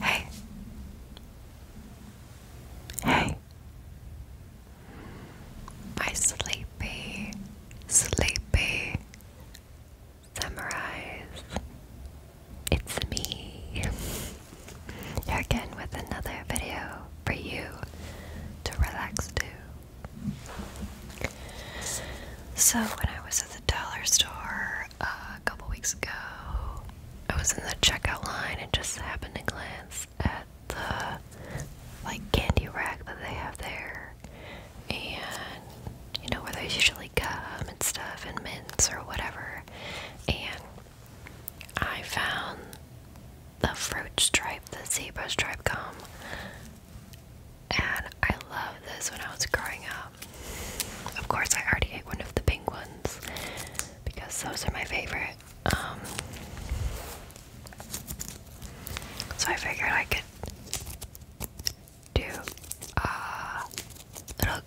Hey. Hey. My sleepy, sleepy samurais. It's me. You're again with another video for you to relax to. So, when I was at the dollar store, uh, a couple weeks ago. I was in the checkout line and just happened to glance at the like candy rack that they have there, and you know where there's usually gum and stuff and mints or whatever, and I found the fruit stripe, the zebra stripe gum. And I love this when I was growing um, of course, I already ate one of the pink ones because those are my favorite. Um, so I figured I could do a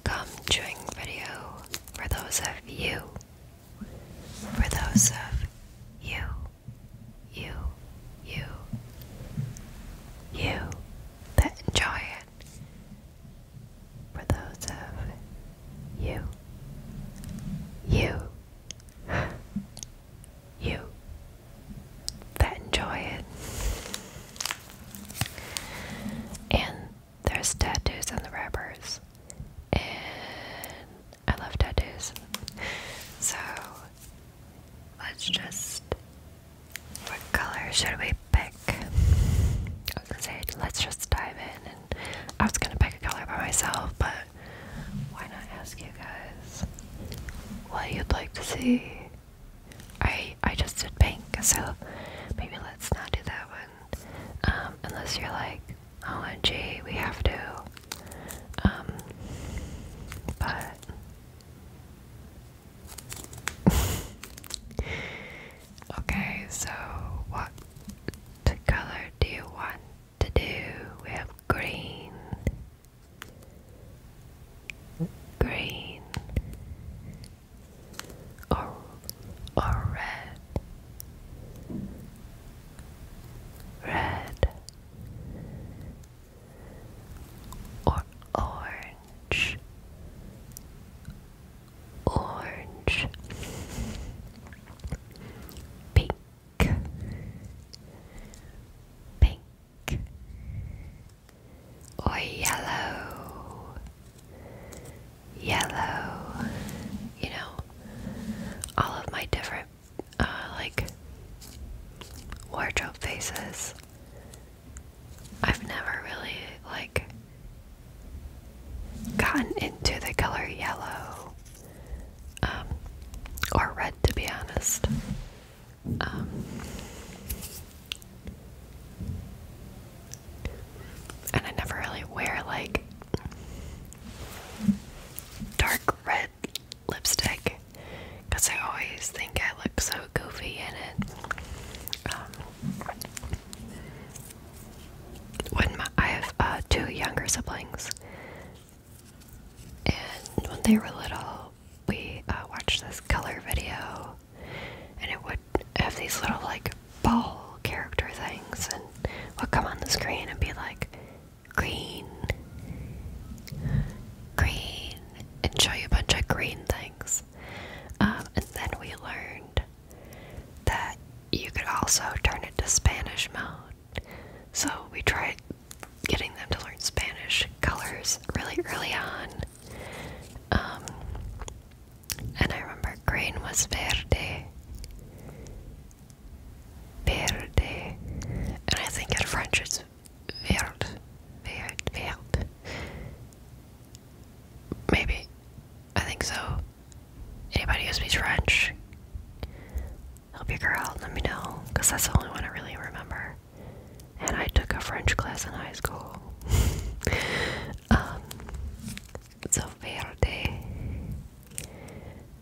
gum chewing video for those of you. For those of you, you, you, you that enjoy it for those of you, you, you that enjoy it. And there's tattoos on the wrappers, and I love tattoos. So let's just what color should we pick? I was gonna say, let's just dive in. And I was gonna pick a color by myself, but why not ask you guys what you'd like to see? I I just did pink, so maybe let's not do that one. Um, unless you're like, oh OMG, we have to. Um, but. Okay, so what color do you want to do? We have green, green, or or red, red, or orange orange, pink, pink, or yellow, yellow. You know, all of my different, uh, like, wardrobe faces I've never really like gotten into the color yellow um, or red to be honest. Um, and I never really wear like dark red lipstick because I always think I look so goofy in it. Um, when my, I have uh, two younger siblings, and when they were little, we uh, watched this color video, and it would have these little like ball character things, and would come on the screen and be like green, green, and show you a bunch of green things. Um, and then we learned that you could also turn it to Spanish mode. So we tried getting them to learn Spanish colors really early on. Um, and I remember green was verde. Verde. And I think in French it's verde. Verde. Verde. Maybe. I think so. Anybody who speaks French? Help your girl, let me know. Because that's the only one I really remember. And I took a French class in high school. um, so, verde.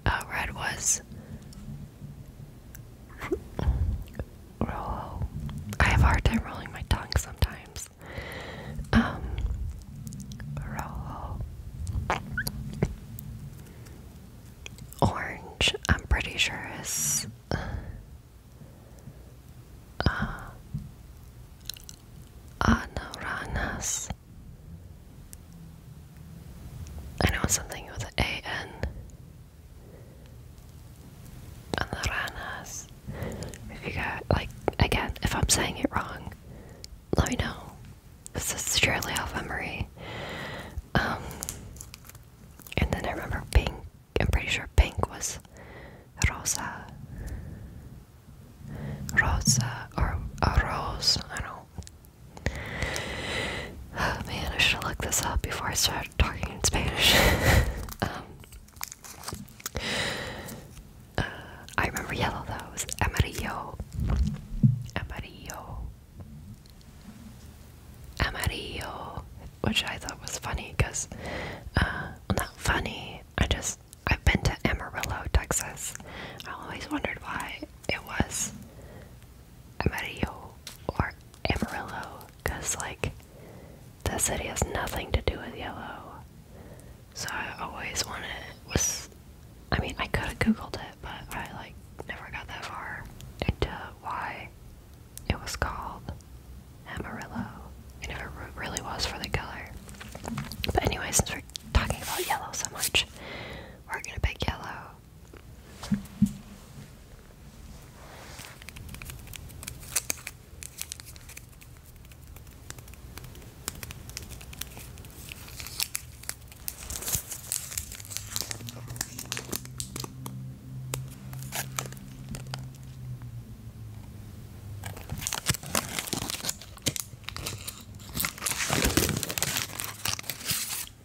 Uh, red was. Roll. I have a hard time rolling my tongue sometimes. Um, orange, I'm pretty sure is uh, uh, I know something with an A N. If you got, like, again, if I'm saying it wrong, let me know. This is surely Alpha Marie. Um, and then I remember pink. I'm pretty sure pink was rosa. Rosa or a rose. I don't. Oh man, I should look this up before I start talking in Spanish. Um, uh, I remember yellow though. It was amarillo. Amarillo. Amarillo. Which I thought was funny because, uh, not funny. I just, I've been to Amarillo, Texas. I always wondered why it was Amarillo or Amarillo because, like, the city has nothing to do with yellow. So I always wanted was I mean I could have googled it but I like never got that far into why it was called Amarillo. And if it really was for the color. But anyway, since we're talking about yellow so much, we're gonna pick yellow.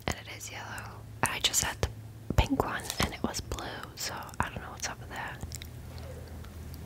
And it is yellow. I just had the pink one and it was blue, so I don't know what's up with that.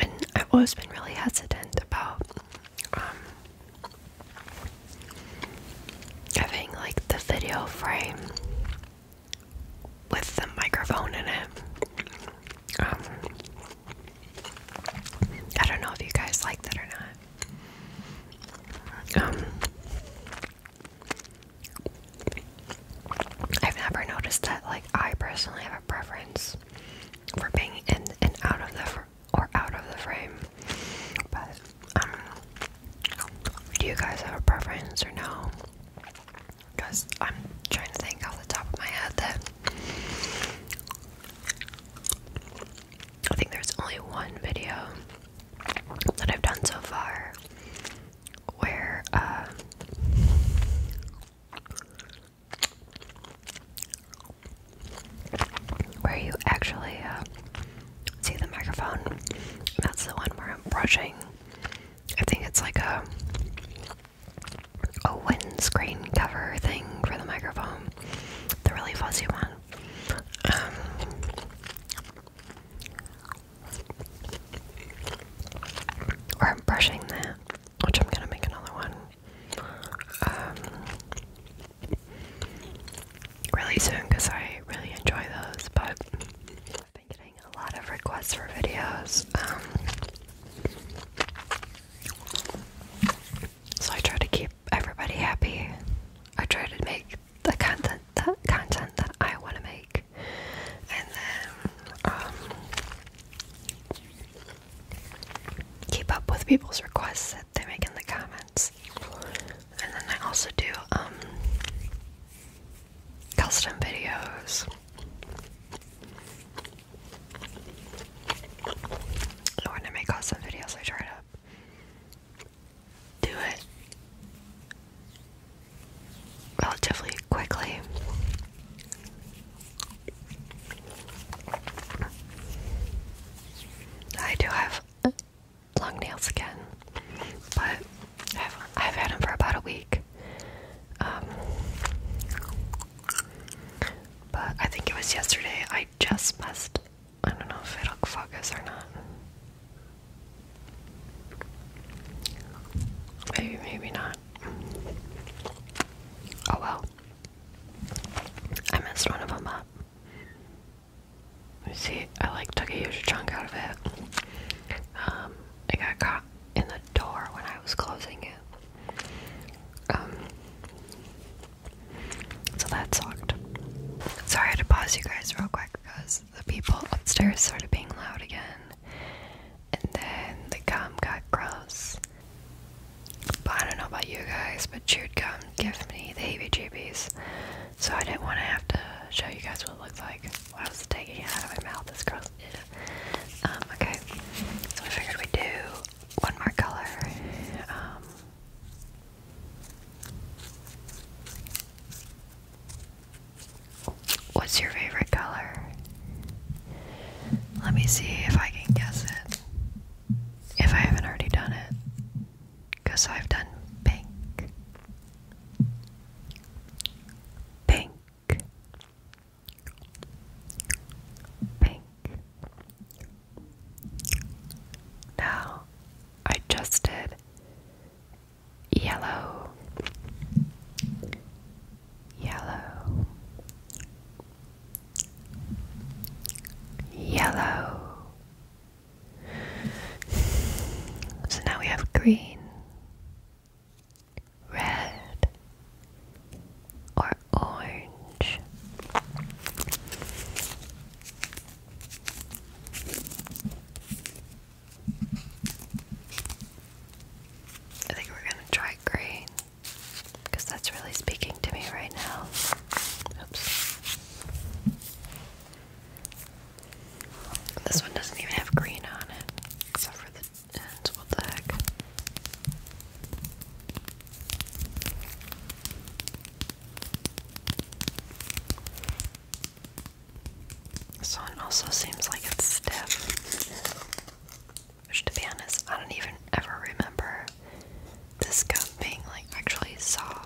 and I've always been really hesitant about um, having like the video frame with the microphone in it. Um, I don't know if you guys like that or not. Um, I've never noticed that. Like, I personally have a preference for being in and out of the or out of the frame. But um, do you guys have a preference or no? Because I'm trying to think off the top of my head that I think there's only one video that I've done so far where uh, where you actually uh, see the microphone. That's the one where I'm brushing. I think it's like a a windscreen cover thing for the microphone, the really fuzzy one. Um, or I'm brushing that, which I'm gonna make another one. Um, really soon because I really enjoy those. But I've been getting a lot of requests for videos, um, so I try to keep everybody happy. I try to make the content, the content that I want to make, and then um, keep up with people's requests that they make in the comments. And then I also do um, custom videos. When I make custom videos, I try to do it relatively quickly. I do have long nails again, but I've, I've had them for about a week. Um, but I think it was yesterday. I just messed. I don't know if it'll focus or not. Maybe, maybe not. Oh well. I messed one of them up. You see, I like took a huge chunk out of it. Um, I got caught in the door when I was closing it. Um, so that sucked. Sorry to pause you guys real quick because the people upstairs started being loud again and then the gum got gross. But I don't know about you guys, but chewed gum gives me the heebie-jeebies, so I didn't want to have to show you guys what it looks like. While I was taking it out of my mouth, it's gross. Um, okay, so I figured we do one more color. Um, what's your favorite color? Let me see if I can guess it. If I haven't already done it. Because I've done pink. Pink. Pink. Now I just did yellow yellow, yellow. So now we have green, red, or orange. I think we're going to try green. Because that's really speaking to me right now. Oops. This one doesn't even have green on it, except for the ends. What the heck? This one also seems like it's stiff. Which, to be honest, I don't even ever remember this gum being like actually soft.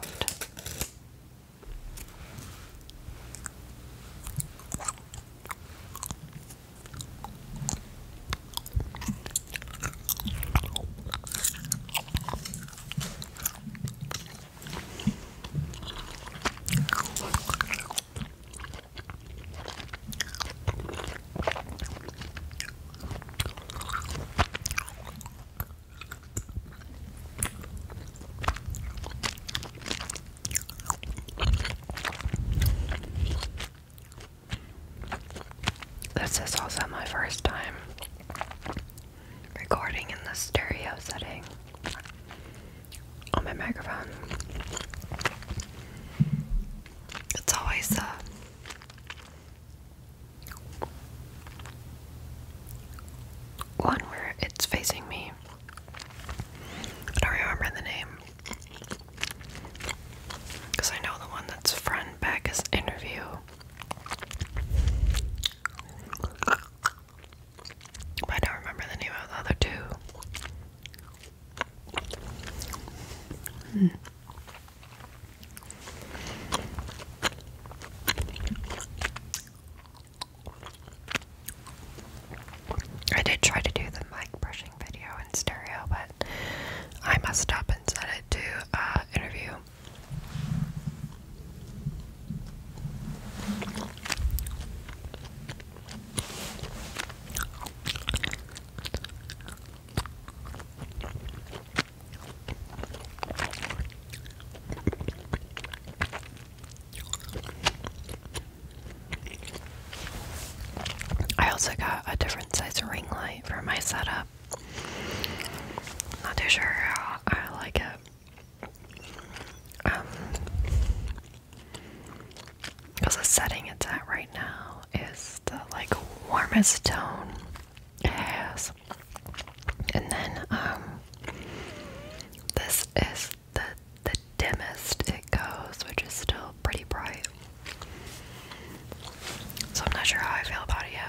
This is also my first time recording in the stereo setting on my microphone. It's always a uh, one where it's facing me. I don't remember the name. Because I know the one that's front back is interview. But I don't remember the name of the other two. Hmm. I did try to do the mic brushing video in stereo, but I messed up and set it to uh, interview. I also got a different size ring light for my setup. Not too sure how I like it. Um, because the setting it's at right now is the like warmest tone it has. And then um this is the the dimmest it goes, which is still pretty bright. So I'm not sure how I feel about it yet.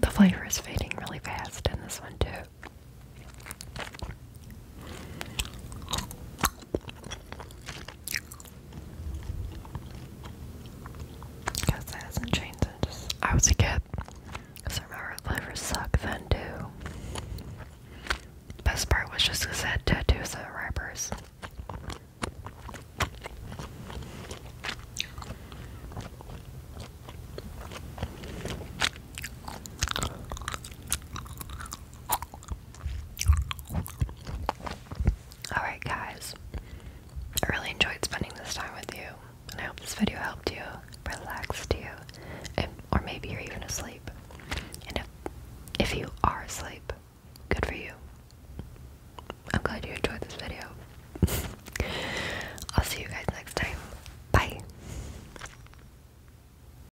The flavor is fading really fast in this one, too. Because that hasn't changed I was a kid. Because I remember liver sucked then too. Best part was just because I had tattoos and rappers. Alright, guys. I really enjoyed spending this time with you, and I hope this video helped you, relaxed you, or maybe you're even asleep. And if, if you are asleep, good for you. I'm glad you enjoyed this video. I'll see you guys next time. Bye.